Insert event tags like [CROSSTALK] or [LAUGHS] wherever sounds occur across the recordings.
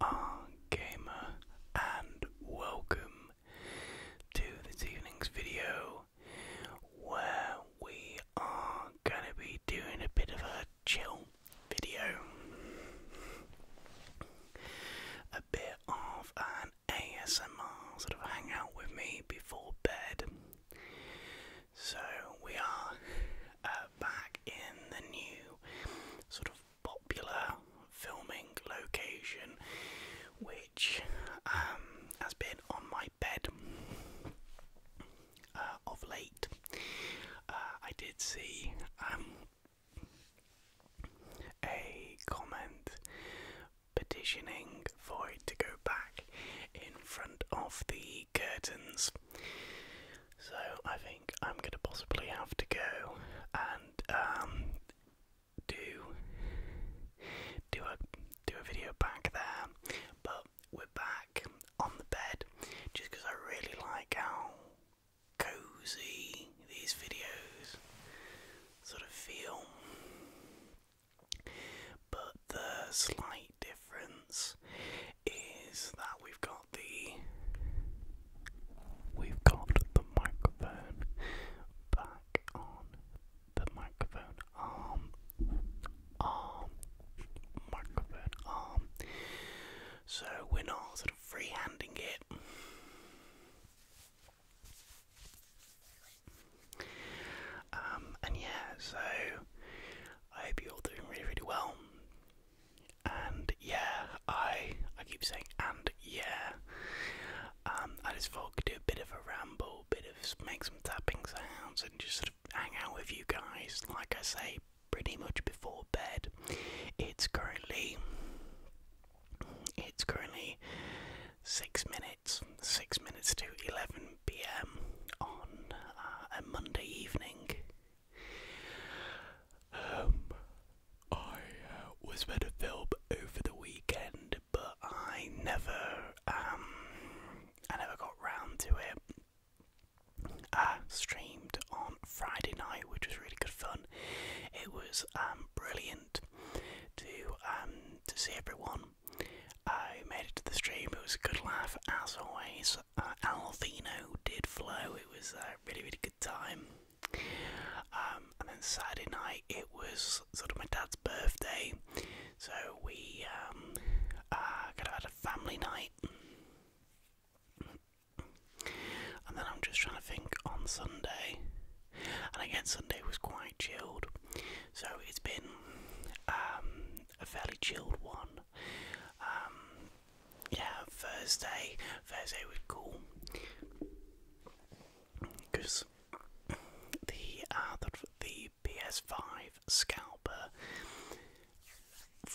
are gamer and welcome to this evening's video where we are gonna be doing a bit of a chill video. A bit of an ASMR sort of hang with me before bed. So we are uh, back in the new sort of popular filming location which um, has been on my bed uh, of late. Uh, I did see um, a comment petitioning for it to go back in front of the curtains. So I think I'm gonna possibly have to go and um, do do a do a video back there, but we're back on the bed just because I really like how cozy these videos sort of feel. But the slight difference is that we've got we've got the microphone back on the microphone arm arm microphone arm. So we're not sort of freehanding it. Um, and yeah, so I hope you're all doing really, really well and yeah, I I keep saying and yeah. Um, I just thought I could do a bit of a ramble, bit of make some tapping sounds, and just sort of hang out with you guys. Like I say, pretty much before bed. It's currently it's currently six minutes, six minutes to eleven p.m. on uh, a Monday evening. Um, I uh, was with to film over the weekend, but I never, um, I never got round to it. I streamed on Friday night, which was really good fun. It was um, brilliant to um, to see everyone. I made it to the stream. It was a good laugh as always. Uh, Alvino did flow. It was uh, really really time. Um, and then Saturday night, it was sort of my dad's birthday, so we um, uh, kind of had a family night. And then I'm just trying to think on Sunday, and again, Sunday was quite chilled, so it's been um, a fairly chilled one. Um, yeah, Thursday. Thursday was cool because the, uh, the PS5 scalper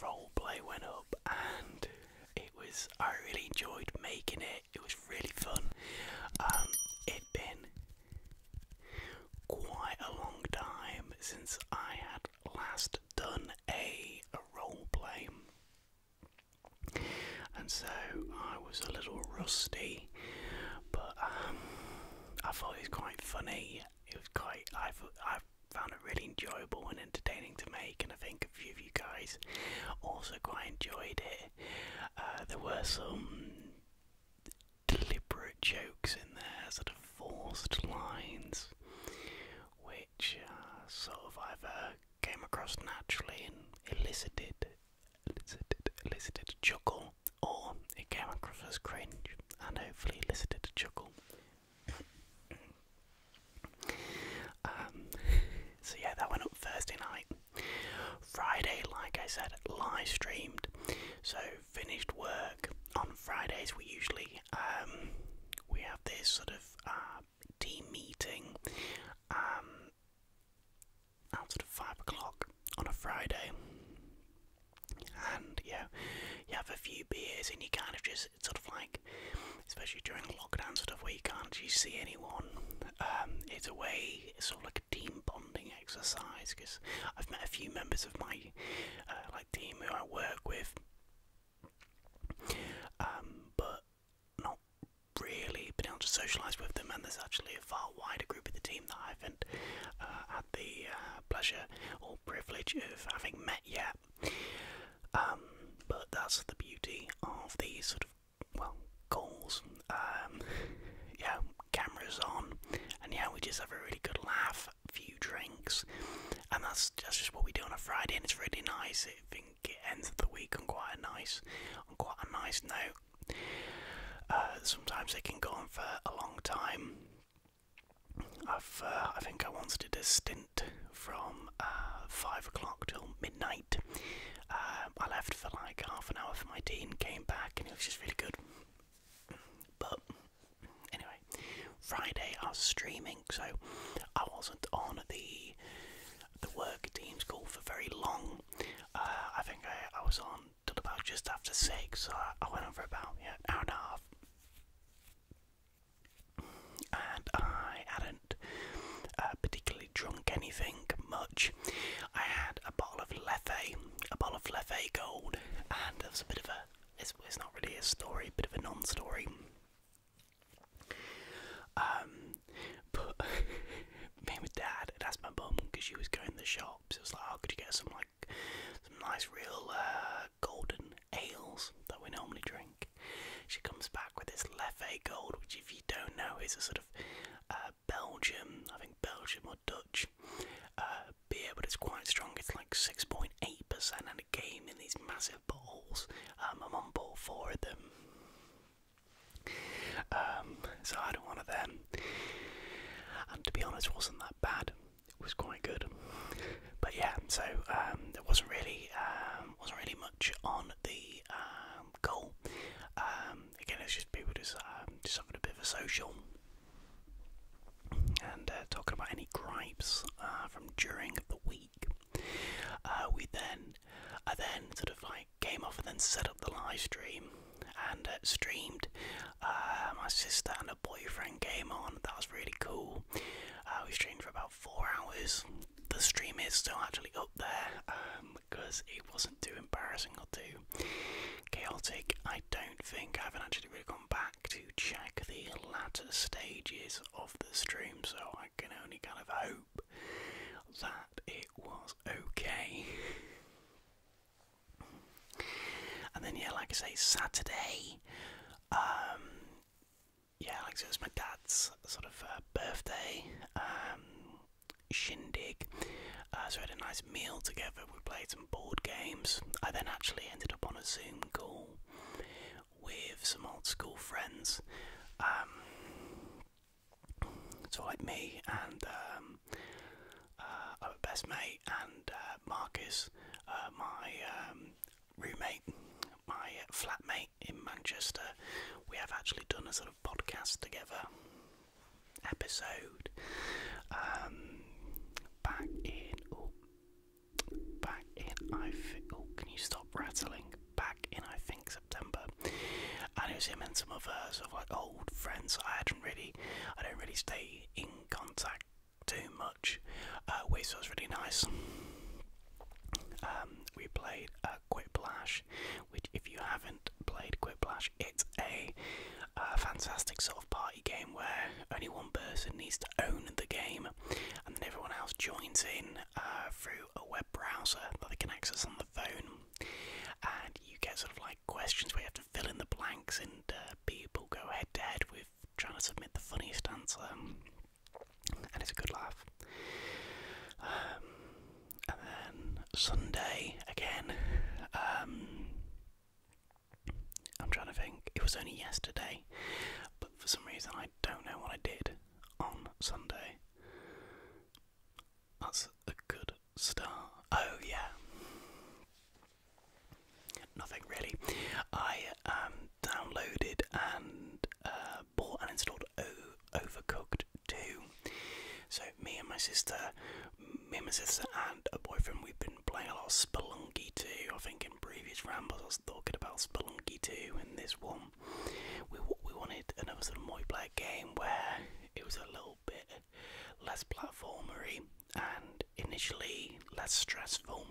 role play went up, and it was I really enjoyed making it. It was really fun. Um, it been quite a long time since I had last done a role play and so I was a little rusty, but um, I thought it was quite funny. It was quite I I found it really enjoyable and entertaining to make, and I think a few of you guys also quite enjoyed it. Uh, there were some deliberate jokes in there, sort of forced lines, which uh, sort of either came across naturally and elicited, elicited, elicited a chuckle, or it came across as cringe and hopefully elicited a chuckle. Um, so yeah, that went up Thursday night. Friday, like I said, live streamed. So finished work on Fridays. We usually um, we have this sort of uh, team meeting um, out at five o'clock on a Friday, and yeah, you have a few beers and you kind of just sort of like, especially during lockdown stuff where you can't see anyone. Um, it's a way, it's sort of like a team bonding exercise because I've met a few members of my uh, like team who I work with um, but not really been able to socialise with them. And there's actually a far wider group of the team that I haven't uh, had the uh, pleasure or privilege of having met yet. Um, but that's the beauty of these sort of well calls. Um, yeah, cameras on, and yeah, we just have a really good laugh, a few drinks, and that's that's just what we do on a Friday, and it's really nice. I think it ends the week on quite a nice, on quite a nice note. Uh, sometimes they can go on for a long time. I've, uh, I think I once did a stint from uh, five o'clock till midnight. Um, I left for like half an hour for my tea and came back, and it was just really good. But anyway, Friday I was streaming so I wasn't on the the work team's call for very long. Uh, I think I, I was on till about just after six, so I, went over about an hour and a half. And I hadn't uh, particularly drunk anything much. I had a bottle of Leffe, a bottle of Leffe Gold, and there was a bit of a. It's, it's not really a story, bit of a non-story. Um, but [LAUGHS] me and dad had asked my mum because she was going the shops. It was like, oh, could you get some like some nice real uh, golden ales that we normally drink? She comes back with this Leffe Gold, which if you don't know is a sort of uh, Belgium, I think Belgium or Dutch uh, beer, but it's quite strong. It's like six point eight percent, game in these massive balls. I'm on ball four of them. Um, so I had one of them. And to be honest, it wasn't that bad. It was quite good. But yeah, so um, there wasn't really um, wasn't really much on the um, goal. Um, again, it's just people just just having a bit of a social and uh, talking about any gripes uh, from during the week. Uh, we then, I then sort of like came off and then set up the live stream and uh, streamed. Uh, my sister and her boyfriend came on. That was really cool. Uh, we streamed for about four hours. The stream is still actually up there because um, it wasn't too embarrassing or too chaotic. I don't think I haven't actually really gone back to check the latter stages of the stream, so I can only kind of hope that it was okay. and then, yeah, like I say, Saturday, um, yeah, like it was my dad's sort of uh, birthday um, shindig. Uh, so we had a nice meal together. We played some board games. I then actually ended up on a Zoom call with some old school friends. Um, so like me and um, uh, our best mate and uh, Marcus, uh, my um, roommate, my flatmate in Manchester, we have actually done a sort of podcast together episode um, back in oh, back in I think. Oh, can you stop rattling? Back in I think September, and it was him and some of her sort of like old friends. I hadn't really, I don't really stay in contact too much uh, with, so it was really nice. Um, we played uh, Quiplash, which if you haven't played Quiplash, it's a fantastic sort of party game where only one person needs to own the game, and then everyone else joins in uh, through a web browser that they can access on the phone, and you get sort of like questions where you have to fill in the blanks, and uh, people go head to head with trying to submit the funniest answer, and it's a good laugh. Um, and then Sunday again. Um, I'm trying to think. It was only yesterday, but for some reason I don't know what I did on Sunday. That's a good start. Oh, yeah. Nothing really. I um, downloaded and uh, bought and installed Overcooked 2. So, me and my sister, me and my sister and a boyfriend, we've been playing a lot of Spelunky too. I think in previous rambles talking about Spelunky 2 and this one. We, we wanted another sort of multiplayer game where it was a little bit less platformery and initially less stressful.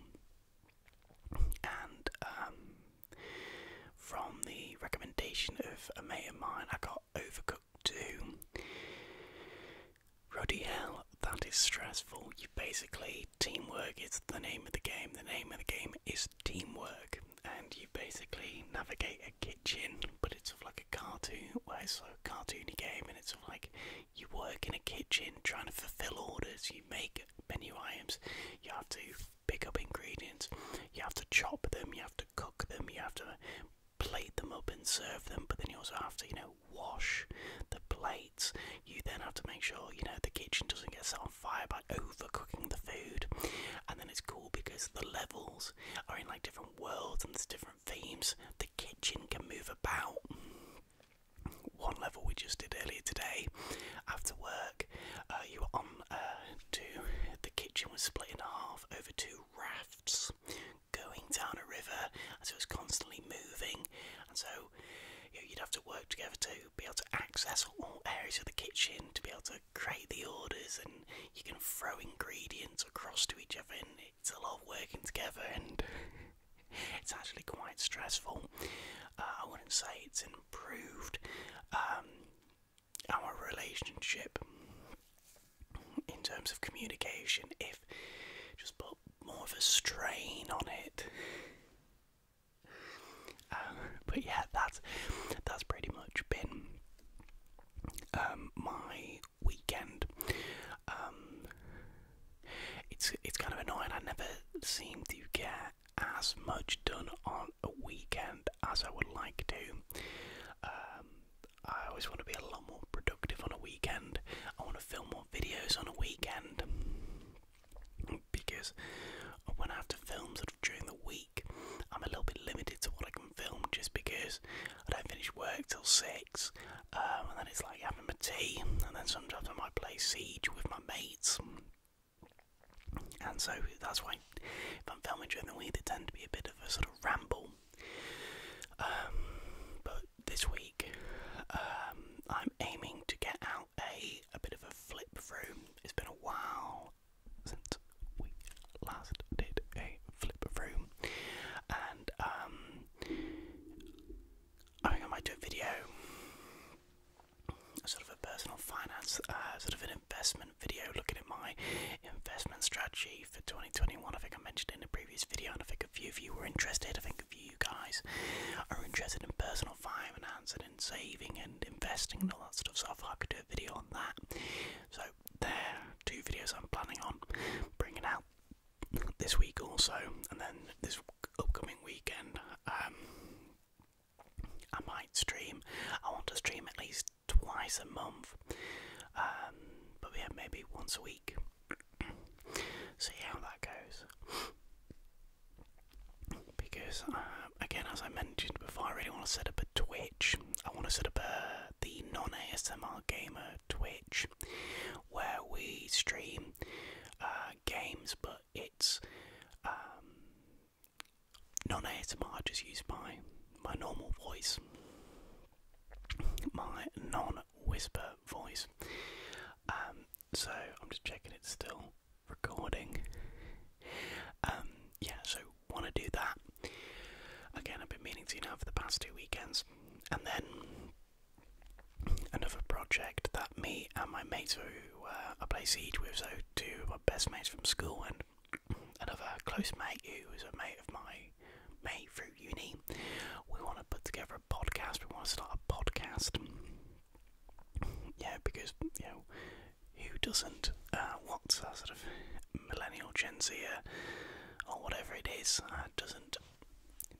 And um, from the recommendation of a mate of mine, I got Overcooked too. Roddy, hell, that is stressful. You basically basically teamwork is the name of the game. The name of the game is teamwork, and you basically navigate a kitchen, but it's sort of like a cartoon, well, it's a cartoony game, and it's sort of like you work in a kitchen trying to fulfill orders. You make menu items. You have to pick up ingredients. You have to chop them. You have to cook them. You have to plate them up and serve them. But then you also have to, you know, wash the plate you then have to make sure you know the kitchen doesn't get set on fire by overcooking the food. And then it's cool because the levels are in like different worlds and there's different themes. The kitchen can move about. One level we just did earlier today after work, uh, you were on uh, to the kitchen was split in half over two rafts going down a river, so it's constantly moving. And so you would have to work together to be able to access all areas of the kitchen, to be able to create the orders, and you can throw ingredients across to each other, and it's a lot of working together, and [LAUGHS] it's actually quite stressful. Uh, I wouldn't say it's improved um, our relationship in terms of communication if just put more of a strain on it. [LAUGHS] Um, but yeah, that's that's pretty much been um, my weekend. Um, it's it's kind of annoying. I never seem to get as much done on a weekend as I would like to. I always want to be a lot more productive on a weekend. I want to film more videos on a weekend because when I have to film sort of during the week, I'm a little bit limited to what I can film just because I don't finish work till six, um, and then it's like having my tea, and then sometimes I might play Siege with my mates. And so that's why, if I'm filming during the week, it tends to be a bit of a sort of ramble. Um, but this week, um, I'm aiming to get out a a bit of a flip through. It's been a while since we last did a flip through, and um, I think I might do a video, sort of a personal finance, uh, sort of an investment video, looking at my investment strategy for 2021. I think I mentioned in a previous video, and I think a few of you were interested. I think a few you guys are interested in personal finance and in saving and investing and all that stuff. So I I could do a video on that. So there, two videos I'm planning on bringing out this week also, and then this upcoming weekend. Um, I might stream. I want to stream at least twice a month, um, but yeah, maybe once a week. [CLEARS THROAT] See how that goes because uh, again, as I mentioned before, I really want to set up a Twitch. I want to set up a, uh, the non-ASMR gamer Twitch, where we stream uh, games, but it's um, non-ASMR. I Just use my my normal voice, my non-whisper voice. Um, so I'm just checking it's still recording. Um, yeah, so want to do that again. I've been meaning to now for the past two weekends, and then another project that me and my mates who uh, I play Siege with, so two of my best mates from school, and another close mate who is a mate of my mate through uni. We want to put together a podcast. We want to start a podcast yeah, because you know who doesn't? Uh, what's that sort of millennial Gen Z uh, or whatever it is uh, doesn't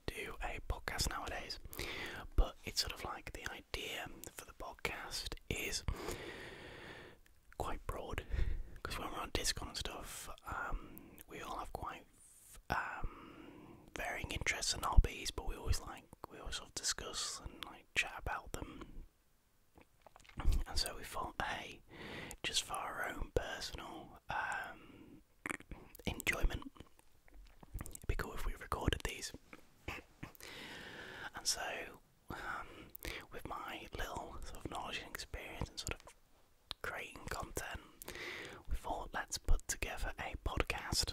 do a podcast nowadays? But it's sort of like the idea for the podcast is quite broad because when we're on Discord and stuff, um, we all have quite um, varying interests and hobbies, but we always like we always discuss and like chat about them. And so we thought, hey, just for our own personal um, enjoyment, it'd be cool if we recorded these. and so, um, with my little sort of knowledge and experience and sort of creating content, we thought let's put together a podcast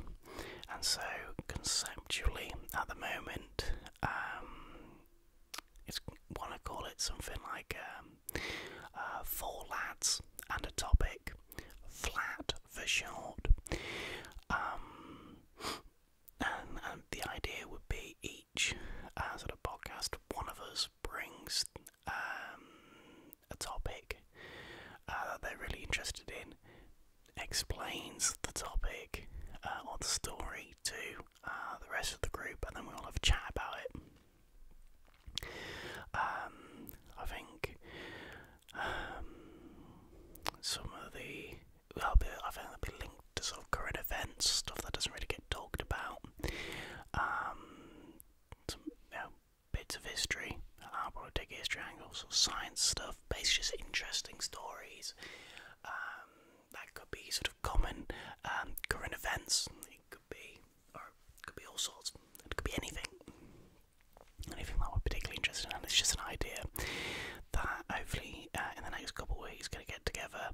and so conceptually at the moment um, it's want to call it something like um, uh, four lads and a topic flat for short um, and, and the idea would be each as at a podcast one of us brings um, a topic uh, that they're really interested in explains the topic uh, or the story to uh, the rest of the group, and then we all have a chat about it. Um, I think um, some of the well, I think they'll be linked to sort of current events, stuff that doesn't really get talked about, um, some bits of history, I will probably take history triangles, or science stuff, basically just interesting stories. Um, that could be sort of common um, current events. It could be, or could be all sorts. It could be anything. Anything that we're particularly interested in, and it's just an idea that hopefully uh, in the next couple of weeks going to get together.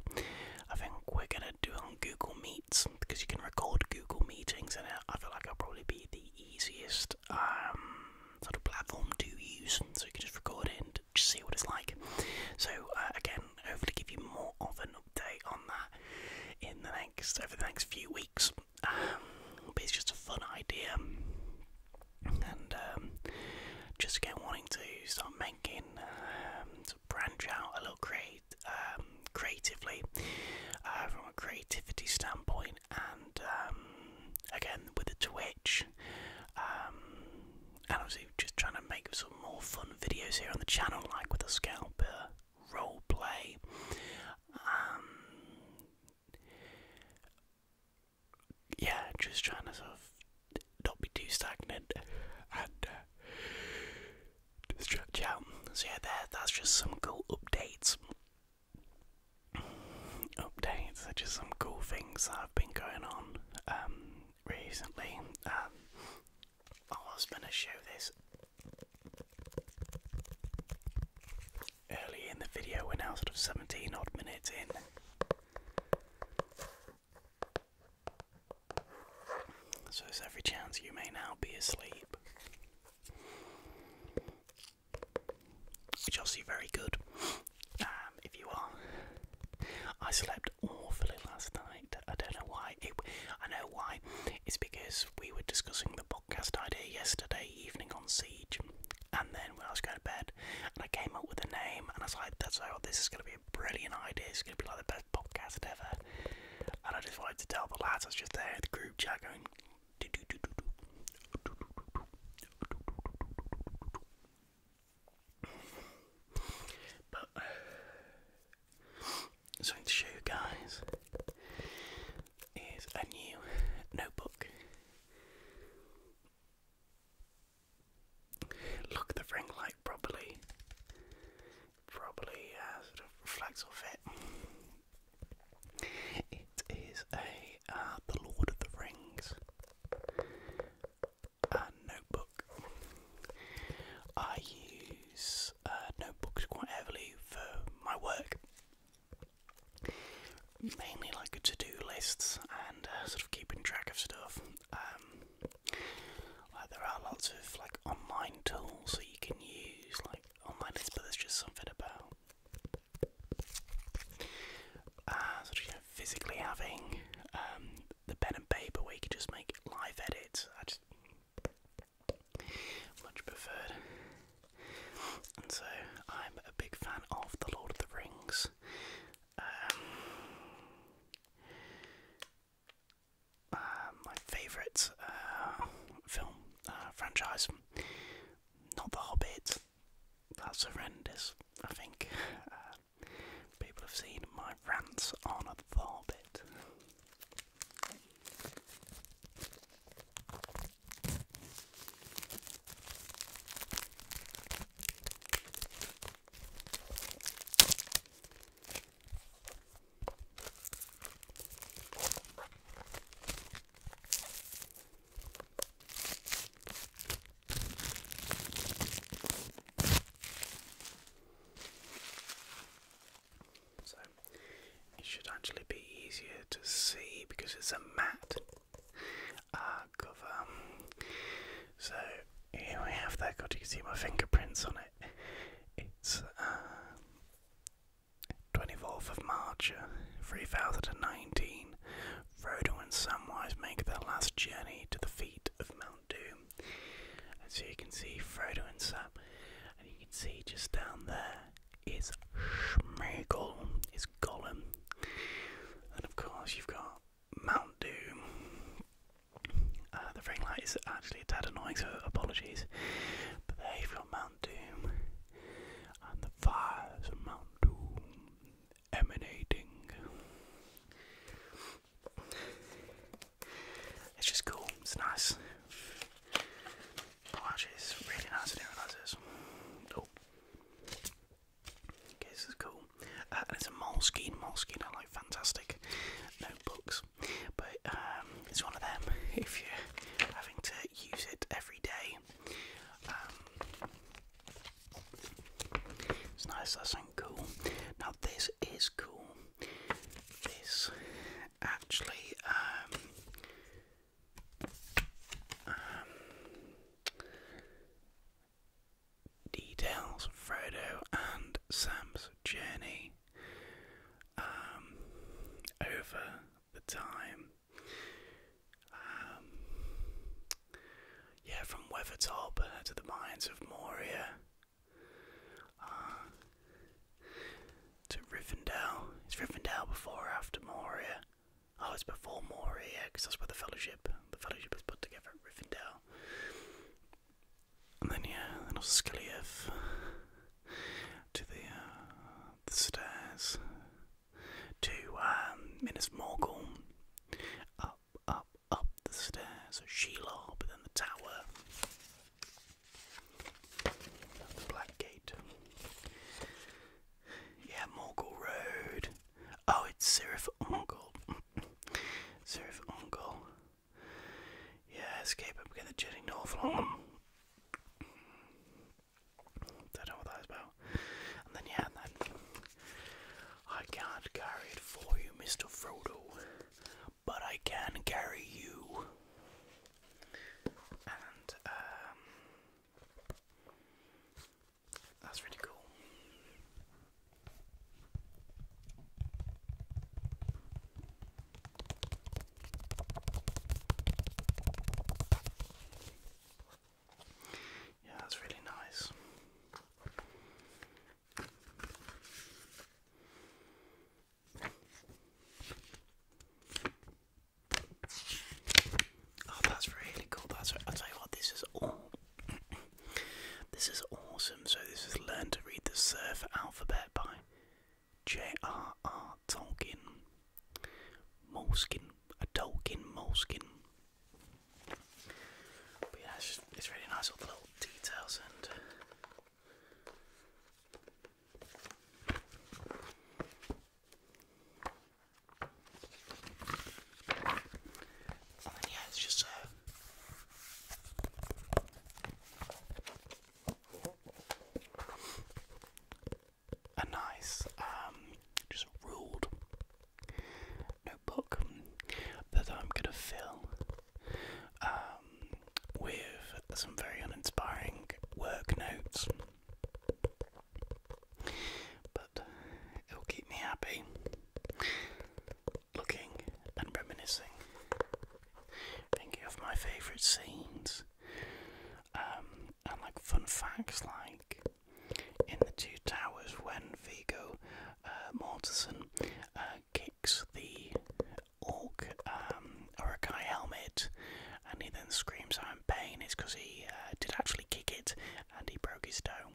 I think we're going to do on Google Meets because you can record Google meetings, and I feel like it will probably be the easiest. Um, sort of platform to use, so we can just record it and just see what it's like. So uh, again, hopefully give you more of an update on that in the next over the next few weeks. Um, but it's just a fun idea, and um, just again wanting to start making um, branch out a little create creatively uh, from a creativity standpoint and um, again, with the Twitch, um, and i obviously just trying to make some more fun videos here on the channel, like with the scalper uh, role play. Um, yeah, just trying to sort of not be too stagnant and uh, stretch out. So yeah, there. That's just some cool updates updates, such some cool things that have been going on um, recently. Um, I was going to show this early in the video, we're now sort of 17 odd minutes in. So there's every chance you may now be asleep which I'll see very good um, if you are. I slept awfully last night. I don't know why. It, I know why. It's because we were discussing the podcast idea yesterday evening on Siege, and then when I was going to bed, and I came up with a name, and I was like, "That's oh, this is going to be a brilliant idea. It's going to be like the best podcast ever." And I just wanted to tell the lads. I was just there the group chat going, but uh, [SIGHS] something to show you guys is a new notebook. Look at the ring light properly. Probably uh, sort of reflects off it. It is a uh, The Lord of the Rings uh, notebook. I use uh, notebooks quite heavily for my work, mainly like to-do lists and sort of keeping track of stuff. Um, like there are lots of like online tools that you can use, like online lists, but there's just something about uh, sort physically having um, the pen and paper where you could just make live edits. I just much preferred. so I'm a big fan of The Lord of the Rings. Um, uh, my favourite uh, film uh, franchise, not The Hobbit, that's horrendous, I think. Uh, people have seen my rants on a Thorbit. So it should actually be easier to see because it's a matte uh, cover. So here we have that. God, you can see my fingerprints on it. It's uh, 24th of March, 3019, Frodo and Samwise make their last journey to the feet of Mount Doom. And so you can see Frodo and Sam, and you can see just down there is Smeagol, is Gollum. And of course, you've got Mount Doom. Uh, the ring light is actually a tad annoying, so apologies. But there you've got Mount and the fires of Mount Doom emanating. It's just cool, it's nice. Oh, actually, it's really nice, I didn't oh. Okay, this is cool. Uh, and it's a moleskin. Moleskin. I like fantastic notebooks. But um, it's one of them, [LAUGHS] if you're having to use it every day, um, it's nice, that's something cool. Now, this is cool. This actually, um, um, details Frodo and Sam's journey over the time um, yeah, from Weathertop uh, to the mines of Moria, uh, to Rivendell. Is Rivendell before or after Moria? Oh, it's before Moria, because that's where the Fellowship, the Fellowship is put together at Rivendell. And then, yeah, then Oscaliev to the, uh, the stairs to um, Minas Morgul. Up, up, up the stairs, a Shelob, then the tower, the Black Gate. Yeah, Morgul Road. Oh, it's Sirif Ongol. Sirif Ongol. Yeah, escape up again the jetting north don't know what that is about. And then yeah, then I can't carry it for you, Mr. Frodo, but I can carry you. And um, that's really cool. Yeah, that's really nice. Oh, that's really cool. That's I will tell you what, this is all. [CLEARS THROAT] this is awesome. So this is learn to read the Surf alphabet by J.R.R start Moleskin, a Tolkien moleskin. But yeah, it's, it's really nice, little details and. yeah, it's just uh, a nice, um, just ruled notebook that I'm going to fill um, with some very uninspiring work notes. But it'll keep me happy looking and reminiscing, thinking of my favourite scenes um, and like fun facts like in the two towers when Vigo uh, Mortensen uh, kicks the orc um, Urukai helmet and he then screams out in pain. It's because he uh, did actually kick it and he broke his toe.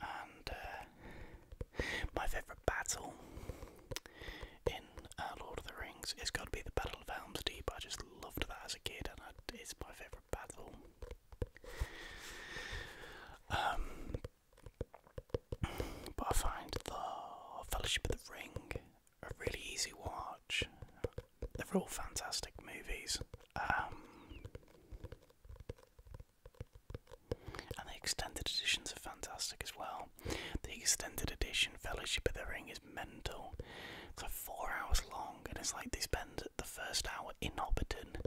And uh, my favourite battle in uh, Lord of the Rings, it's got to be the Battle of Helm's Deep. I just loved that as a kid, and it's my favourite battle. Um, but I find the Fellowship of the Ring a really easy watch. They're all fantastic movies. Um, and the extended editions are fantastic as well. The extended edition Fellowship of the Ring is mental. It's like four hours long, and it's like they spend the first hour in Hobbiton.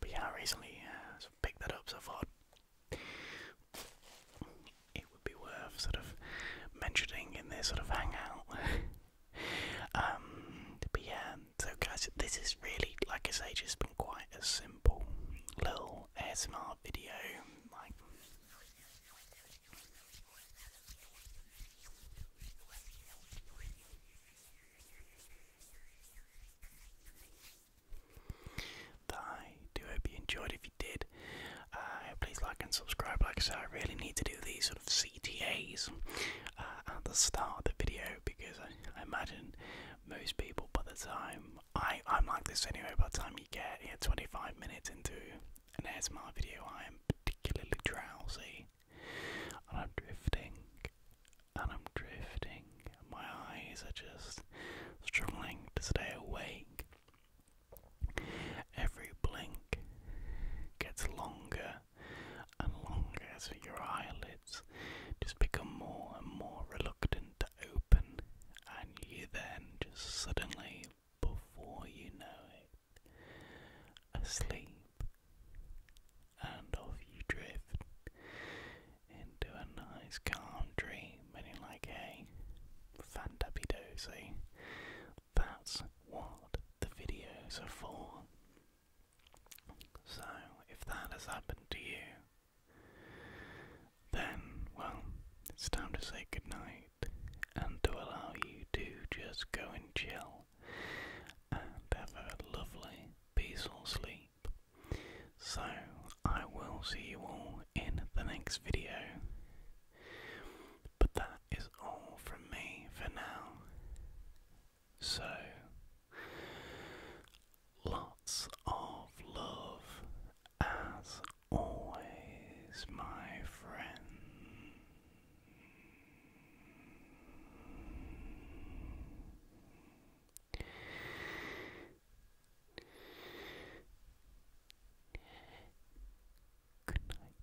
But yeah, I recently uh, picked that up, so thought it would be worth sort of mentioning in this sort of hangout. [LAUGHS] Um, but yeah, so guys, this is really, like I say, just been quite a simple little ASMR video. Like, I do hope you enjoyed. If you did, uh, please like and subscribe. Like I said, I really need to do these sort of CTAs uh, at the start of the video because I, I imagine most people by the time I, I'm like this anyway. By the time you get yeah, 25 minutes into an ASMR video, I am particularly drowsy and I'm drifting and I'm drifting. My eyes are just struggling to stay awake. Every blink gets longer and longer as your eyelids just become more and more reluctant to open, and you then just suddenly, before you know it, asleep, and off you drift into a nice calm dream, and like, hey, fantabby dozy, that's what the videos are for. So, if that has happened to you, then, well, it's time to say goodnight and to allow you to just go and chill and have a lovely, peaceful sleep. So, I will see you all in the next video. But that is all from me for now. So, lots of love as always, my friend. Good night.